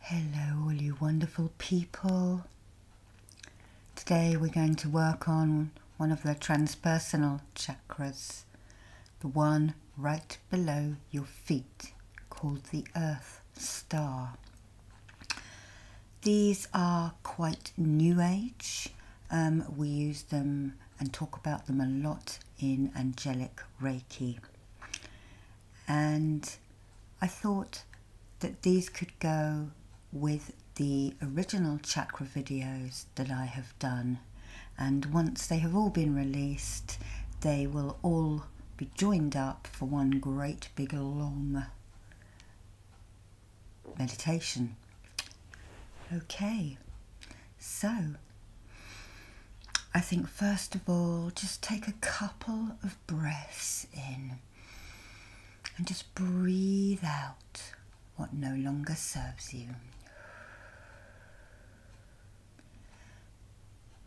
Hello, all you wonderful people. Today we're going to work on one of the transpersonal chakras, the one right below your feet, called the Earth Star. These are quite new age. Um, we use them and talk about them a lot in angelic radio. Reiki. And I thought that these could go with the original chakra videos that I have done. And once they have all been released, they will all be joined up for one great big long meditation. Okay, so I think, first of all, just take a couple of breaths in and just breathe out what no longer serves you.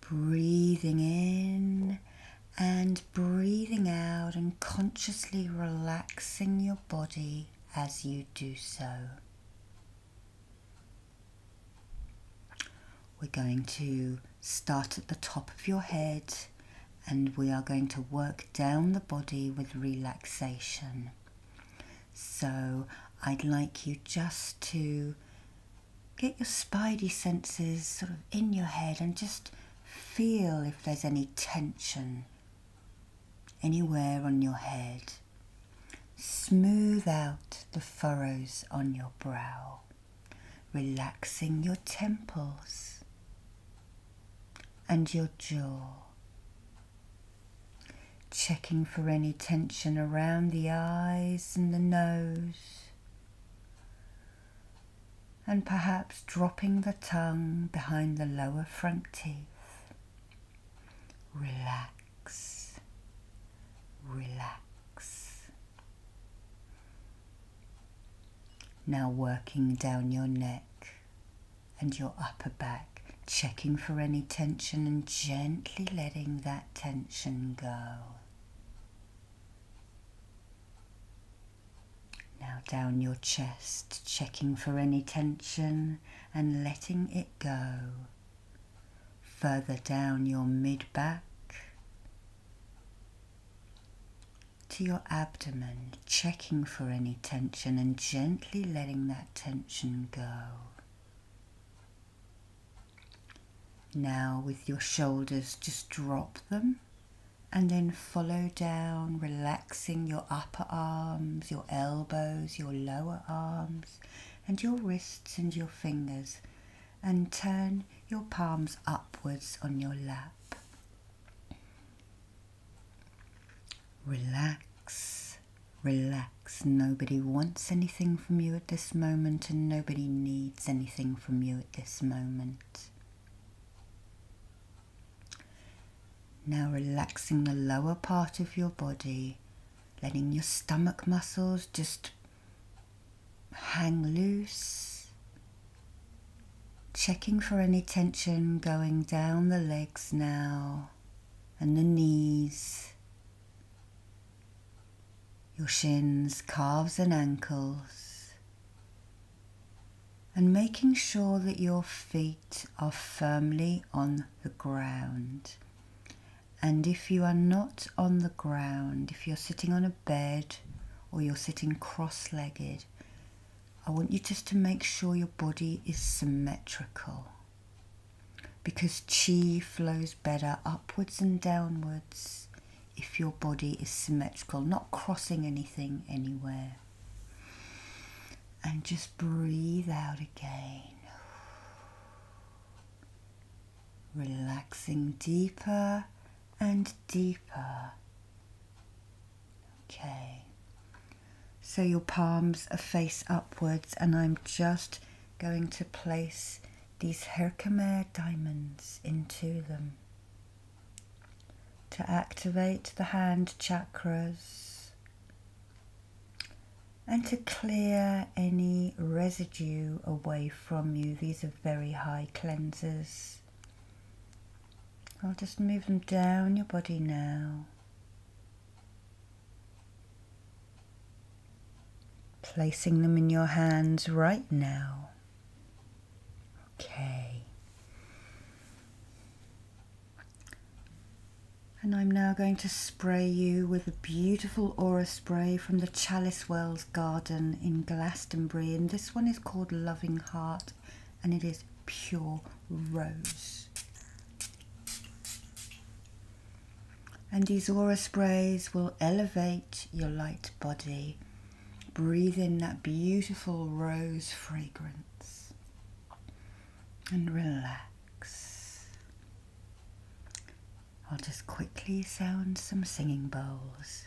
Breathing in and breathing out, and consciously relaxing your body as you do so. We're going to start at the top of your head and we are going to work down the body with relaxation. So I'd like you just to get your spidey senses sort of in your head and just feel if there's any tension anywhere on your head. Smooth out the furrows on your brow, relaxing your temples and your jaw. Checking for any tension around the eyes and the nose, and perhaps dropping the tongue behind the lower front teeth. Relax relax, Now working down your neck and your upper back, checking for any tension and gently letting that tension go. Now down your chest, checking for any tension and letting it go further down your mid back to your abdomen, checking for any tension and gently letting that tension go. Now, with your shoulders, just drop them and then follow down, relaxing your upper arms, your elbows, your lower arms, and your wrists and your fingers, and turn your palms upwards on your lap. Relax, relax. Nobody wants anything from you at this moment, and nobody needs anything from you at this moment. Now relaxing the lower part of your body, letting your stomach muscles just hang loose. Checking for any tension going down the legs now and the knees, your shins, calves, and ankles. And making sure that your feet are firmly on the ground. And if you are not on the ground, if you're sitting on a bed or you're sitting cross legged, I want you just to make sure your body is symmetrical because chi flows better upwards and downwards if your body is symmetrical, not crossing anything anywhere and just breathe out again. Relaxing deeper and deeper. Okay. So your palms are face upwards and I'm just going to place these Herkimer diamonds into them to activate the hand chakras and to clear any residue away from you. These are very high cleansers. I'll just move them down your body now. Placing them in your hands right now. Okay. And I'm now going to spray you with a beautiful aura spray from the Chalice Wells Garden in Glastonbury. And this one is called Loving Heart and it is pure rose. And these aura sprays will elevate your light body. Breathe in that beautiful rose fragrance and relax. I'll just quickly sound some singing bowls.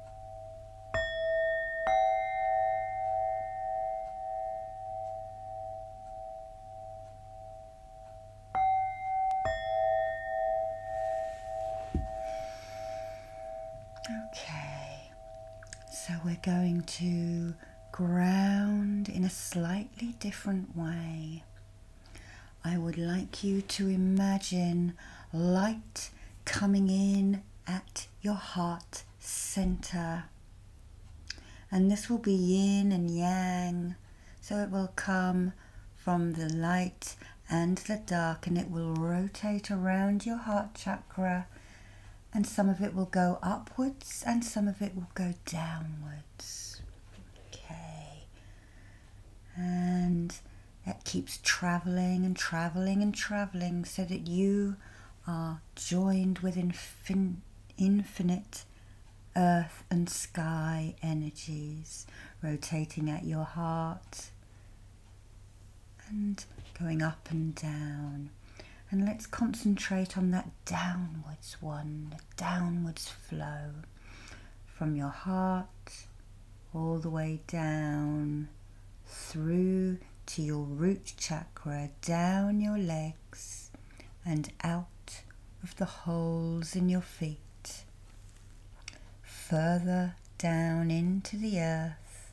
Okay, so we're going to ground in a slightly different way. I would like you to imagine light coming in at your heart center. And this will be yin and yang, so it will come from the light and the dark and it will rotate around your heart chakra and some of it will go upwards and some of it will go downwards. Okay and it keeps traveling and traveling and traveling so that you are joined with infinite earth and sky energies rotating at your heart and going up and down. And let's concentrate on that downwards one, the downwards flow from your heart all the way down through to your root chakra, down your legs and out of the holes in your feet, further down into the earth,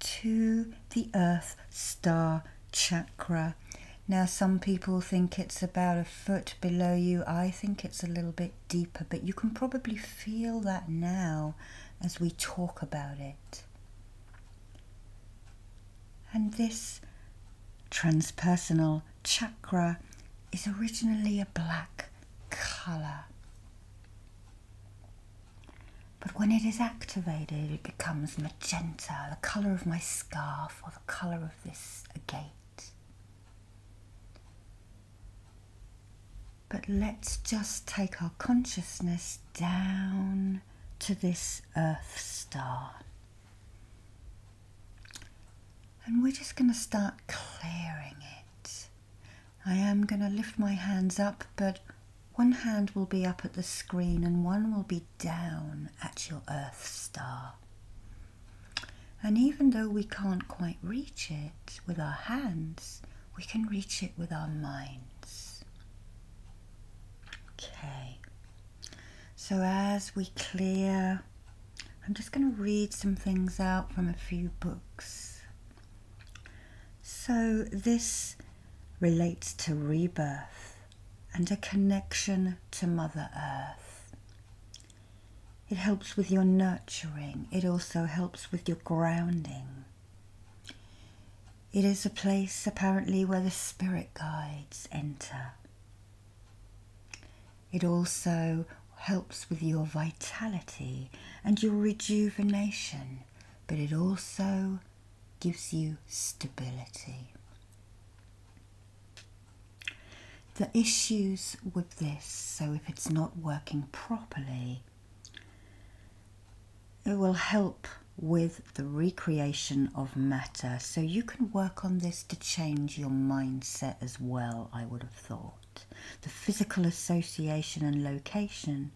to the earth star chakra. Now, some people think it's about a foot below you. I think it's a little bit deeper, but you can probably feel that now as we talk about it. And this transpersonal chakra is originally a black colour. But when it is activated, it becomes magenta, the colour of my scarf or the colour of this agate. But let's just take our consciousness down to this Earth star. And we're just going to start clearing it. I am going to lift my hands up, but one hand will be up at the screen and one will be down at your Earth star. And even though we can't quite reach it with our hands, we can reach it with our minds. Okay. So as we clear, I'm just going to read some things out from a few books. So this relates to rebirth and a connection to Mother Earth. It helps with your nurturing, it also helps with your grounding. It is a place apparently where the spirit guides enter. It also helps with your vitality and your rejuvenation, but it also gives you stability. The issues with this, so if it's not working properly, it will help with the recreation of matter. So you can work on this to change your mindset as well, I would have thought. The physical association and location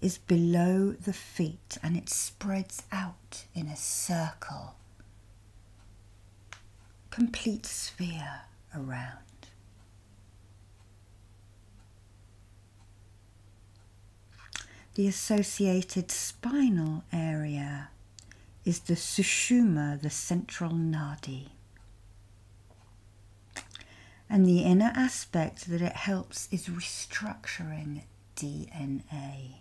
is below the feet and it spreads out in a circle complete sphere around. The associated spinal area is the sushuma, the central nadi. And the inner aspect that it helps is restructuring DNA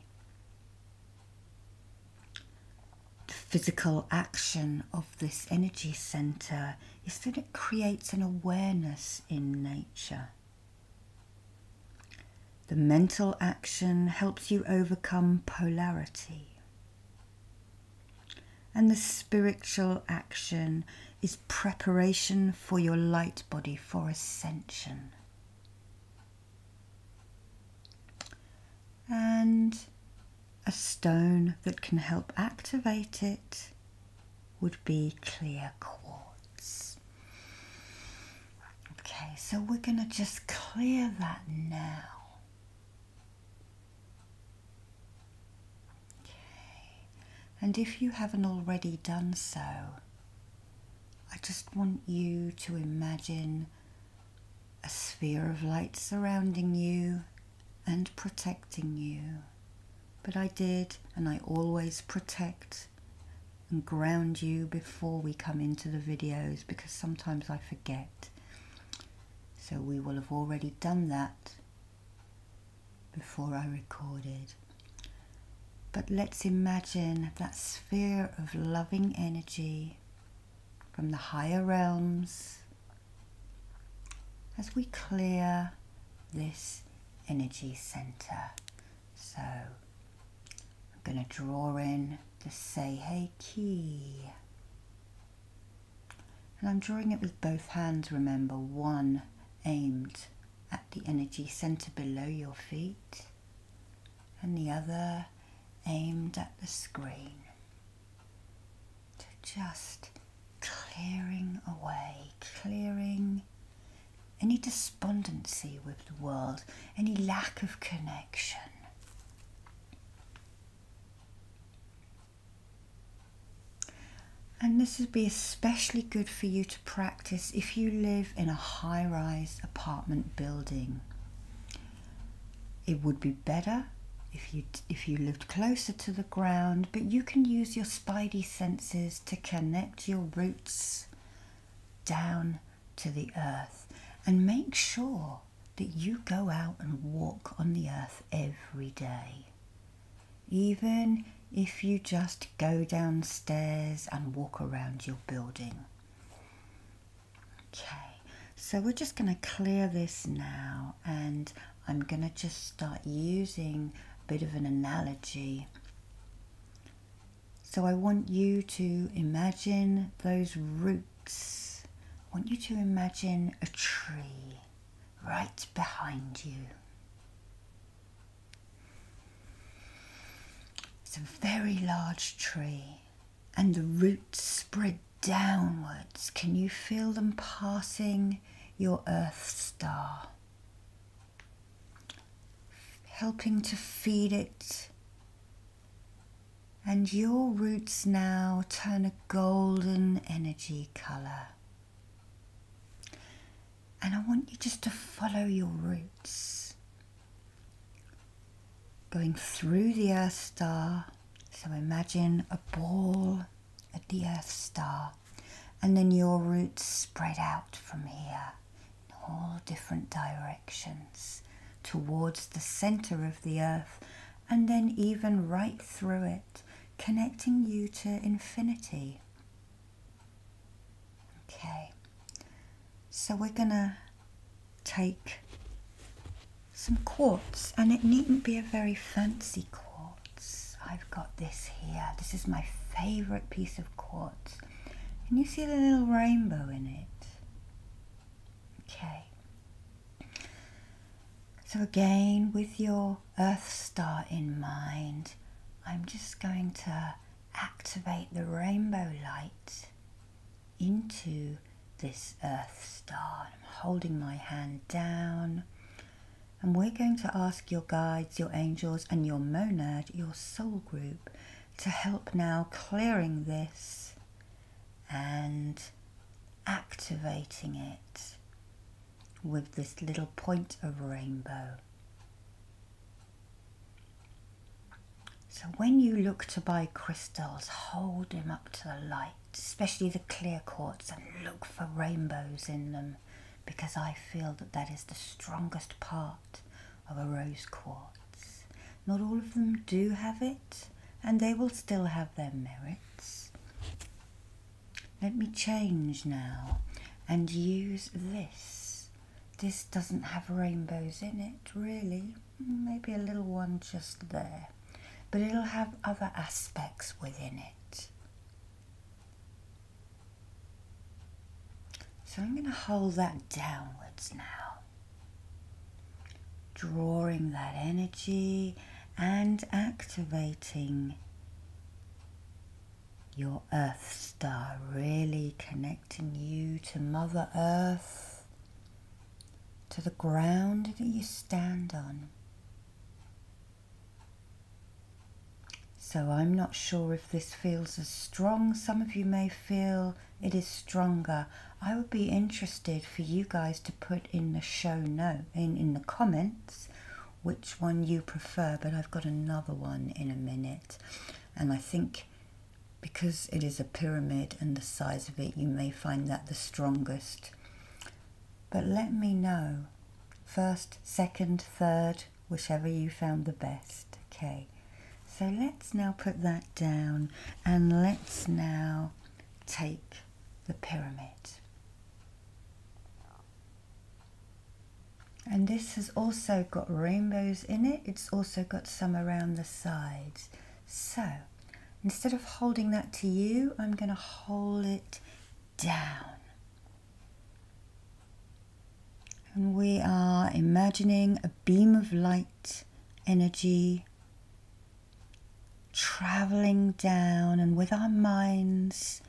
the physical action of this energy center is that it creates an awareness in nature. The mental action helps you overcome polarity. And the spiritual action is preparation for your light body for ascension. And a stone that can help activate it would be clear quartz. Okay, so we're going to just clear that now. Okay, and if you haven't already done so, I just want you to imagine a sphere of light surrounding you and protecting you. But I did, and I always protect and ground you before we come into the videos because sometimes I forget. So we will have already done that before I recorded. But let's imagine that sphere of loving energy from the higher realms as we clear this energy center. So I'm going to draw in the Say key. And I'm drawing it with both hands, remember, one aimed at the energy center below your feet and the other aimed at the screen. to just clearing away, clearing any despondency with the world, any lack of connection. And this would be especially good for you to practice if you live in a high rise apartment building. It would be better if you if you lived closer to the ground, but you can use your spidey senses to connect your roots down to the earth and make sure that you go out and walk on the earth every day. Even if you just go downstairs and walk around your building. Okay, so we're just going to clear this now and I'm going to just start using a bit of an analogy. So I want you to imagine those roots. I want you to imagine a tree right behind you. It's a very large tree, and the roots spread downwards. Can you feel them passing your Earth star? Helping to feed it. And your roots now turn a golden energy colour. And I want you just to follow your roots going through the Earth star. So imagine a ball at the Earth star, and then your roots spread out from here in all different directions towards the center of the Earth, and then even right through it, connecting you to infinity. Okay, so we're gonna take some quartz and it needn't be a very fancy quartz. I've got this here. This is my favorite piece of quartz. and you see the little rainbow in it? Okay. So again, with your Earth Star in mind, I'm just going to activate the rainbow light into this earth star. I'm holding my hand down. And we're going to ask your guides, your angels, and your monad, your soul group, to help now clearing this and activating it with this little point of rainbow. So when you look to buy crystals, hold them up to the light, especially the clear quartz, and look for rainbows in them because I feel that that is the strongest part of a rose quartz. Not all of them do have it, and they will still have their merits. Let me change now and use this this doesn't have rainbows in it, really. Maybe a little one just there. But it'll have other aspects within it. So I'm going to hold that downwards now. Drawing that energy and activating your earth star, really connecting connecting you to Mother Earth, to the ground that you stand on. So I'm not sure if this feels as strong. Some of you may feel it is stronger. I would be interested for you guys to put in the show note in, in the comments which one you prefer, but I've got another one in a minute. And I think because it is a pyramid and the size of it, you may find that the strongest. But let me know first, second, third, whichever you found the best. Okay, so let's now put that down and let's now take the pyramid. And this has also got rainbows in it. It's also got some around the sides. So instead of holding that to you, I'm going to hold it down. And we are imagining a beam of light energy traveling down and with our minds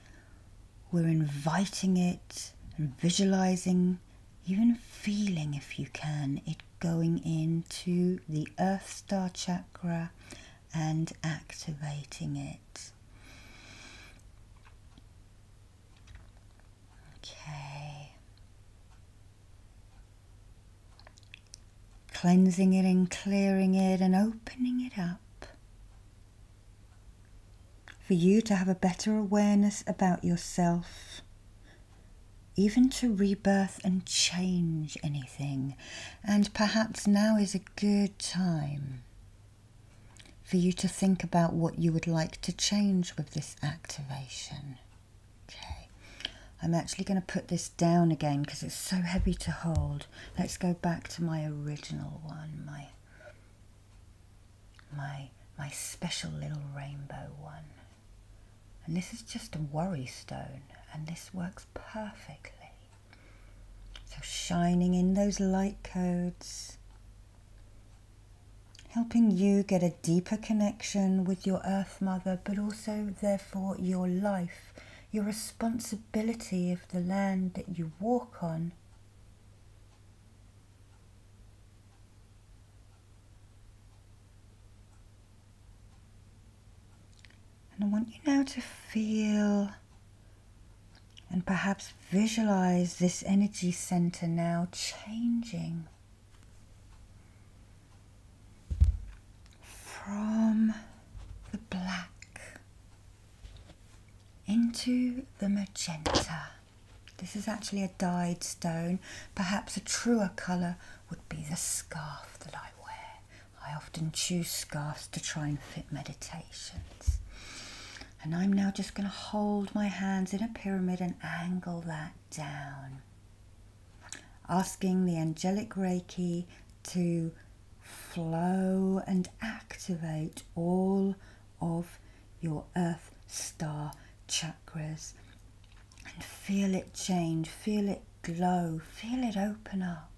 we're inviting it and visualizing, even feeling if you can, it going into the Earth Star Chakra and activating it. Okay. Cleansing it and clearing it and opening it up for you to have a better awareness about yourself, even to rebirth and change anything. And perhaps now is a good time for you to think about what you would like to change with this activation. Okay, I'm actually going to put this down again because it's so heavy to hold. Let's go back to my original one, my my my special little rainbow one. And this is just a worry stone and this works perfectly. So shining in those light codes, helping you get a deeper connection with your earth mother, but also therefore your life, your responsibility of the land that you walk on and I want you now to feel and perhaps visualize this energy center now changing from the black into the magenta. This is actually a dyed stone. Perhaps a truer colour would be the scarf that I wear. I often choose scarves to try and fit meditations. And I'm now just going to hold my hands in a pyramid and angle that down. Asking the angelic Reiki to flow and activate all of your earth star chakras and feel it change, feel it glow, feel it open up.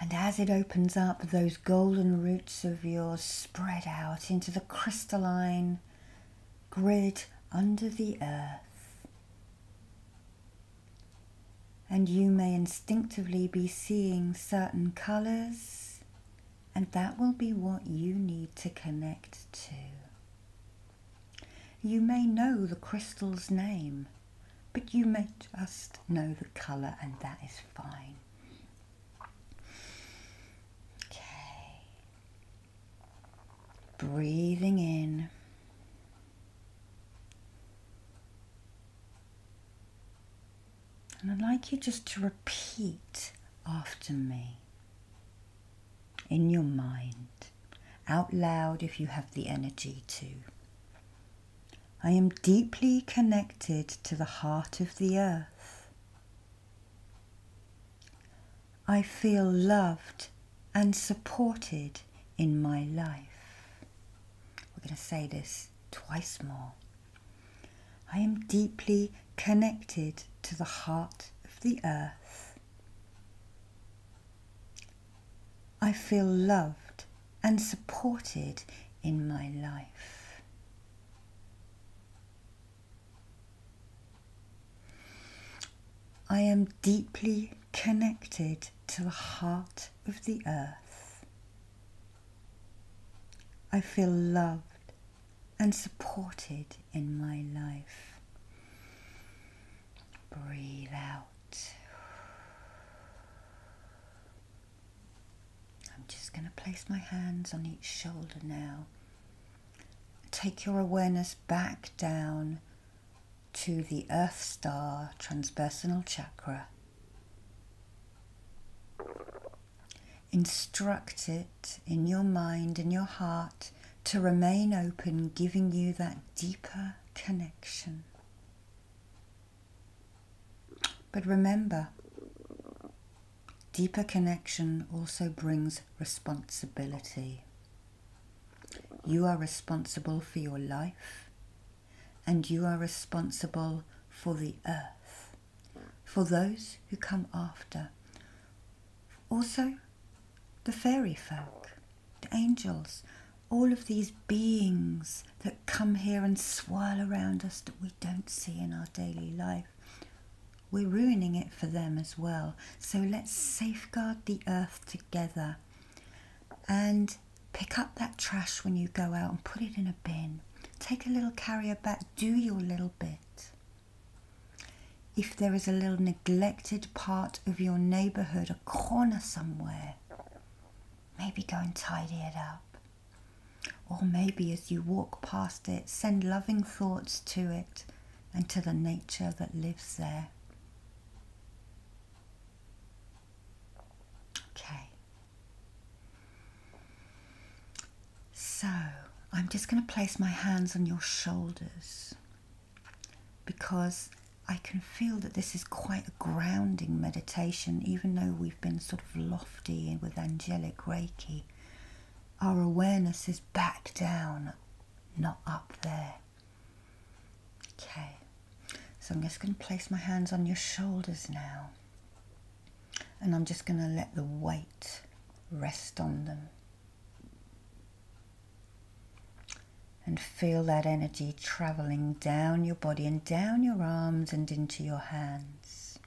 And as it opens up, those golden roots of yours spread out into the crystalline grid under the earth and you may instinctively be seeing certain colors, and that will be what you need to connect to. You may know the crystal's name, but you may just know the color, and that is fine. Okay. Breathing in. And I'd like you just to repeat after me in your mind, out loud if you have the energy to. I am deeply connected to the heart of the earth. I feel loved and supported in my life. We're going to say this twice more. I am deeply connected to the heart of the earth. I feel loved and supported in my life. I am deeply connected to the heart of the earth. I feel loved and supported in my life. Breathe out. I'm just going to place my hands on each shoulder now. Take your awareness back down to the Earth Star transpersonal chakra. Instruct it in your mind and your heart to remain open, giving you that deeper connection. But remember, deeper connection also brings responsibility. You are responsible for your life, and you are responsible for the earth, for those who come after. Also, the fairy folk, the angels, all of these beings that come here and swirl around us that we don't see in our daily life. We're ruining it for them as well. So let's safeguard the earth together and pick up that trash when you go out and put it in a bin. Take a little carrier bag. do your little bit. If there is a little neglected part of your neighbourhood, a corner somewhere, maybe go and tidy it up. Or maybe as you walk past it, send loving thoughts to it and to the nature that lives there. Okay. So I'm just going to place my hands on your shoulders because I can feel that this is quite a grounding meditation, even though we've been sort of lofty and with angelic Reiki. Our awareness is back down, not up there. Okay, so I'm just going to place my hands on your shoulders now, and I'm just going to let the weight rest on them. And feel that energy traveling down your body and down your arms and into your hands.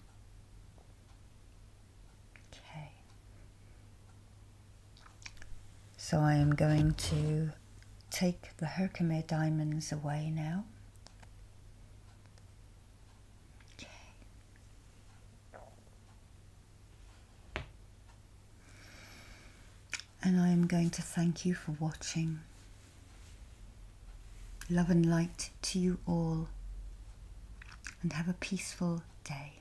Okay. So I am going to take the Herkimer diamonds away now. And I am going to thank you for watching. Love and light to you all. And have a peaceful day.